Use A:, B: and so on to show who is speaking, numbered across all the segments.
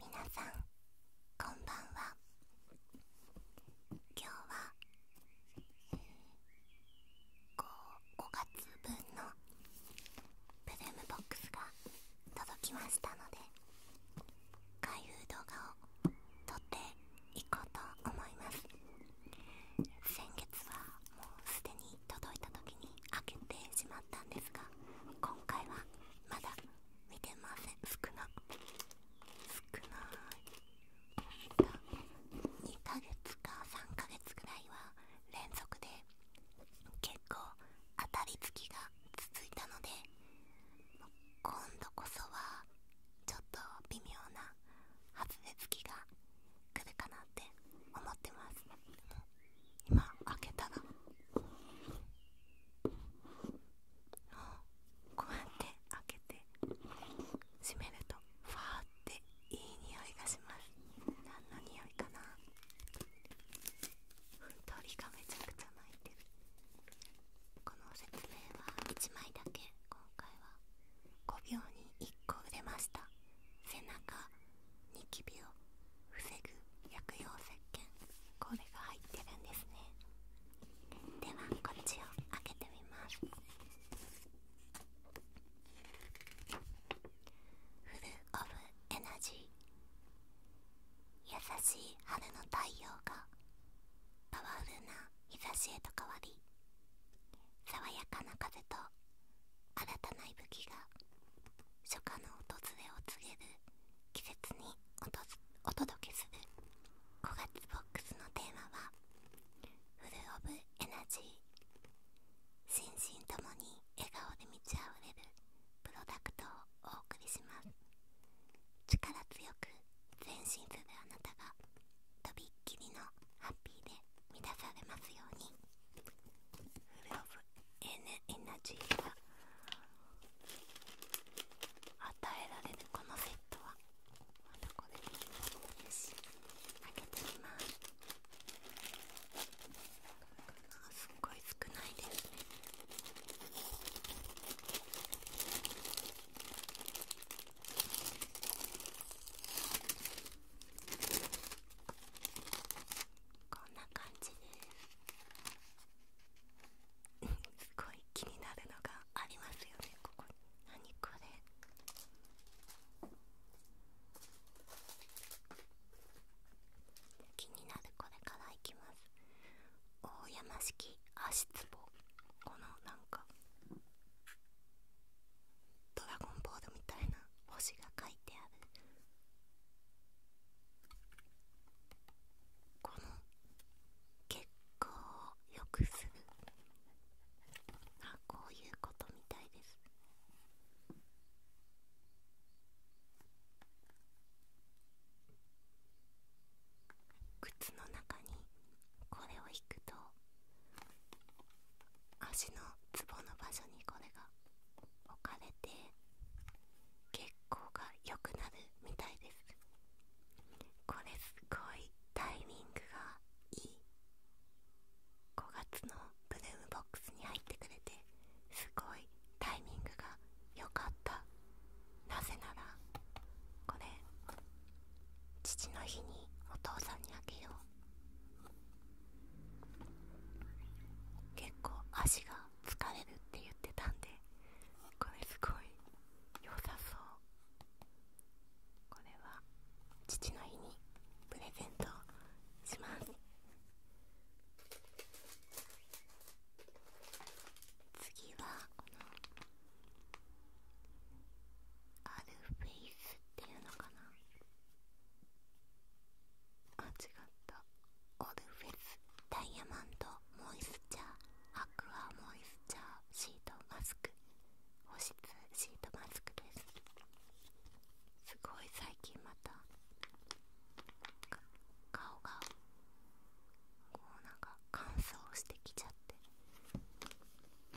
A: 皆さんこんばんは今日は、5, 5月分のブルームボックスが届きましたので開封動画を撮っていこうと思います先月はもうすでに届いた時に開けてしまったんですが今回はまだ見てません少な少い2ヶ月か3ヶ月ぐらいは連続で結構当たりつきが続いたので今度こそはちょっと微妙な外れつが来るかなって思ってます今開けたが、もうこうやって開けて閉めるとファーっていい匂いがします何の匂いかな鳥がめちゃくちゃ鳴いてるこの説明は1枚だけ今回は5秒に1個売れました背中ニキビを防ぐ薬用石鹸これが入ってるんですねではこっちを開けてみますフルオブエナジー優しい春の太陽がパワフルな日差しへと変わり爽やかな風と新たな息吹が初夏の訪れを告げる季節におとお届けする5月ボックスのテーマは「フル・オブ・エナジー」心身ともに笑顔で満ちあふれるプロダクトをお送りします力強く前進するあなたがとびっきりのハッピーで満たされますようにエナジーが与えられるこのセットはまたこれよし開けてみますすっごい少ないですねこんな感じです。すごい気になるのがありますよねここに何これ気になるこれからいきます大山式足つぼこのなんかドラゴンボールみたいな星が書いてあるこの血行をよくするあこういうことみたいです靴の中にこれを引くと足のツボの場所にこれが置かれて血行をくする。行が良くなるみたいですこれすごいタイミングがいい5月のブルームボックスに入ってくれてすごいタイミングが良かったなぜならこれ父の日にお父さんにあげよう結構足が疲れるって言ってたんでこれすごい良さそうこれは父の日にプレゼントします次はこのアルフェイスっていうのかなあ違ったオルフェスダイヤマンドモイスチャーアクアモイスチャーシートマスク保湿シートマスクですすごい最近また顔がこうなんか乾燥してきちゃって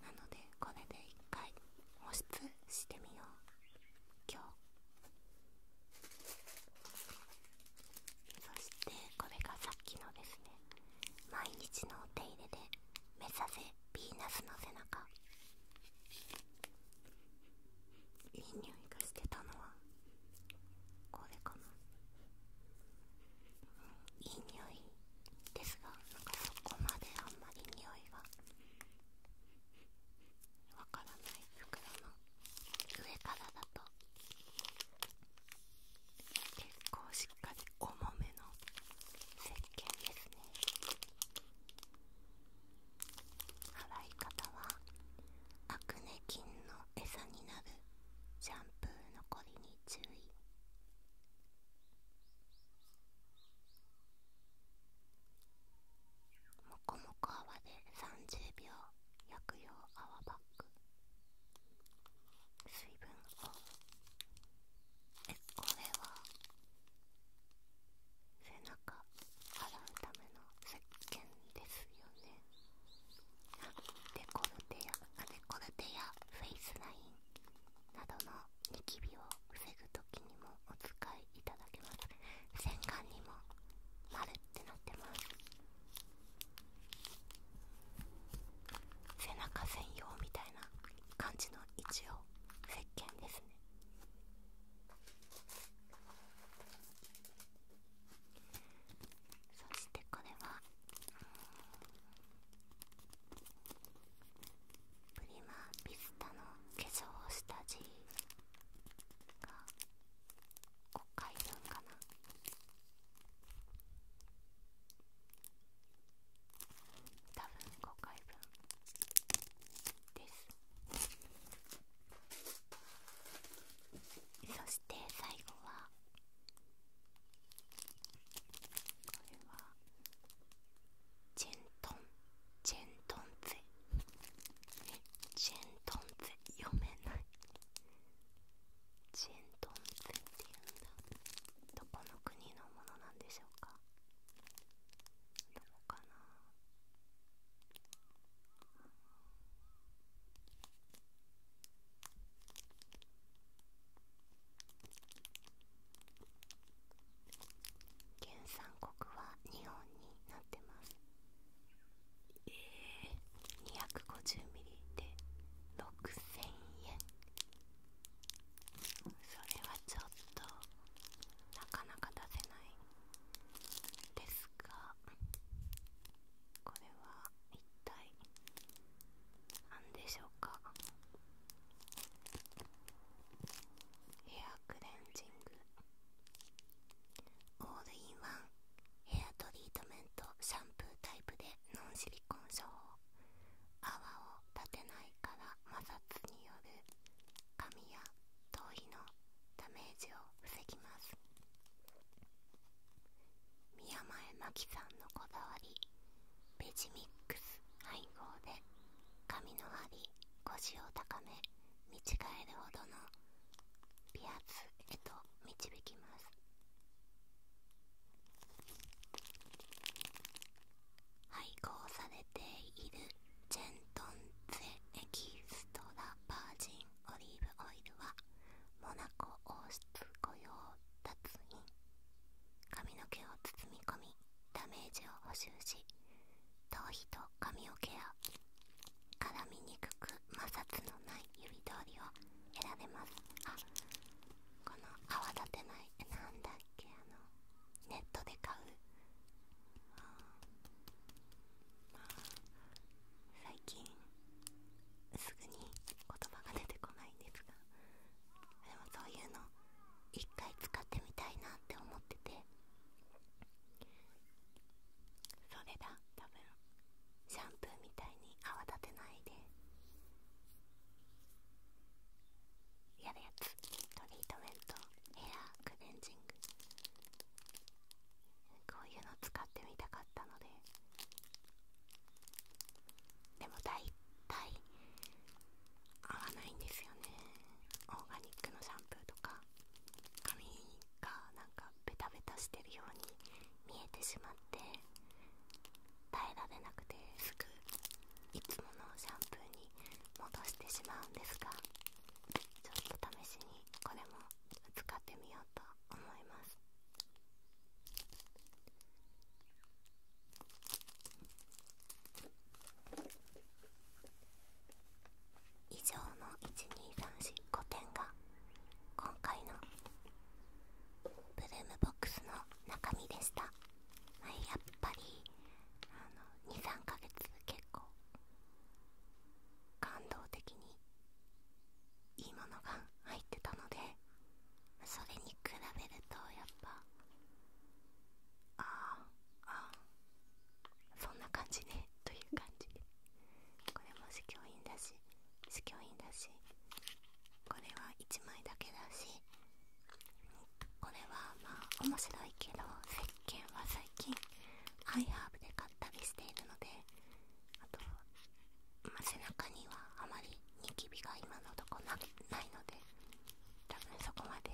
A: なのでこれで一回保湿してみよう今日そしてこれがさっきのですね毎日のお手入れで目指せヴィーナスの背中いい匂いがしてたのはこれかな、ういい匂いですがなんかそこまであんまり匂いがわからない袋の上からだと結構しっかり重めの石鹸ですね洗い方はアクネ菌の餌になるシャンプー残りに注意もこもこ泡で30秒薬用泡バッグ水分をえこれは背中洗うための石鹸ですよねあコルテやあデコルテやフェイスラインなどのニキビを防ぐときにもお使いいただけます全館にも丸ってなってます背中専用みたいな感じの一応石鹸ですねそしてこれはプリマビスタの化粧下地が5回分かな多分5回分ですそして最後はこれはチェントンチェントンツェチェントンゼ読めないチェントンゼっていうんだどこの国のものなんでしょうかどうかな原産国は日本になってますえー、250ミリで6000円それはちょっとなかなか出せないですがこれは一体何でしょうかヘアクレンジングオールインワンヘアトリートメントシャンプータイプでノンシリコン処方泡を立てないから摩擦による髪や頭皮のダメージを防ぎます宮前真紀さんのこだわりベジミックス配合で髪の張り腰を高め見違えるほどのピアスへと導きます配合されているジェントンゼエキストラバージンオリーブオイルはモナコ王室御用達に髪の毛を包み込みダメージを補修し頭皮と髪をケア絡みにくく摩擦のない指通りを選べますあこの泡立てないなんだっけあのネットで買う最近すぐに言葉が出てこないんですがでもそういうの一回使ってみたいなって思っててそれだ多分シャンプーみたいに泡立てないでやるやつトリートメントヘアクレンジングこういうの使ってみたかったのででも大体合わないんですよねオーガニックのシャンプーとか髪がなんかベタベタしてるように見えてしまって耐えられなくてすぐいつものシャンプーに戻してしまうんですがちょっと試しにこれも使ってみようと思います以上の12345点が今回のブルームボックスの中身でした、はい、やっぱり23ヶ月結構感動的にいいものが入ってたのでそれに比べるとやっぱああああそんな感じねという感じでこれも試供品だし試供品だしこれは1枚だけだしこれはまあ面白いけど石鹸は最近ハイハーブで買ったりしているのであと、背中にはあまりニキビが今のところないので多分そこまで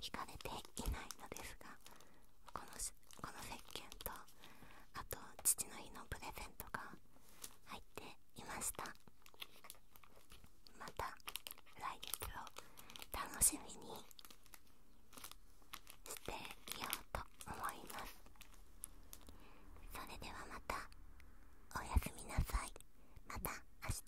A: 引かれていないのですがこのしこの石鹸とあと父の日のプレゼントが入っていましたまた来月を楽しみにしていようと思いますそれではまたおやすみなさいまた明日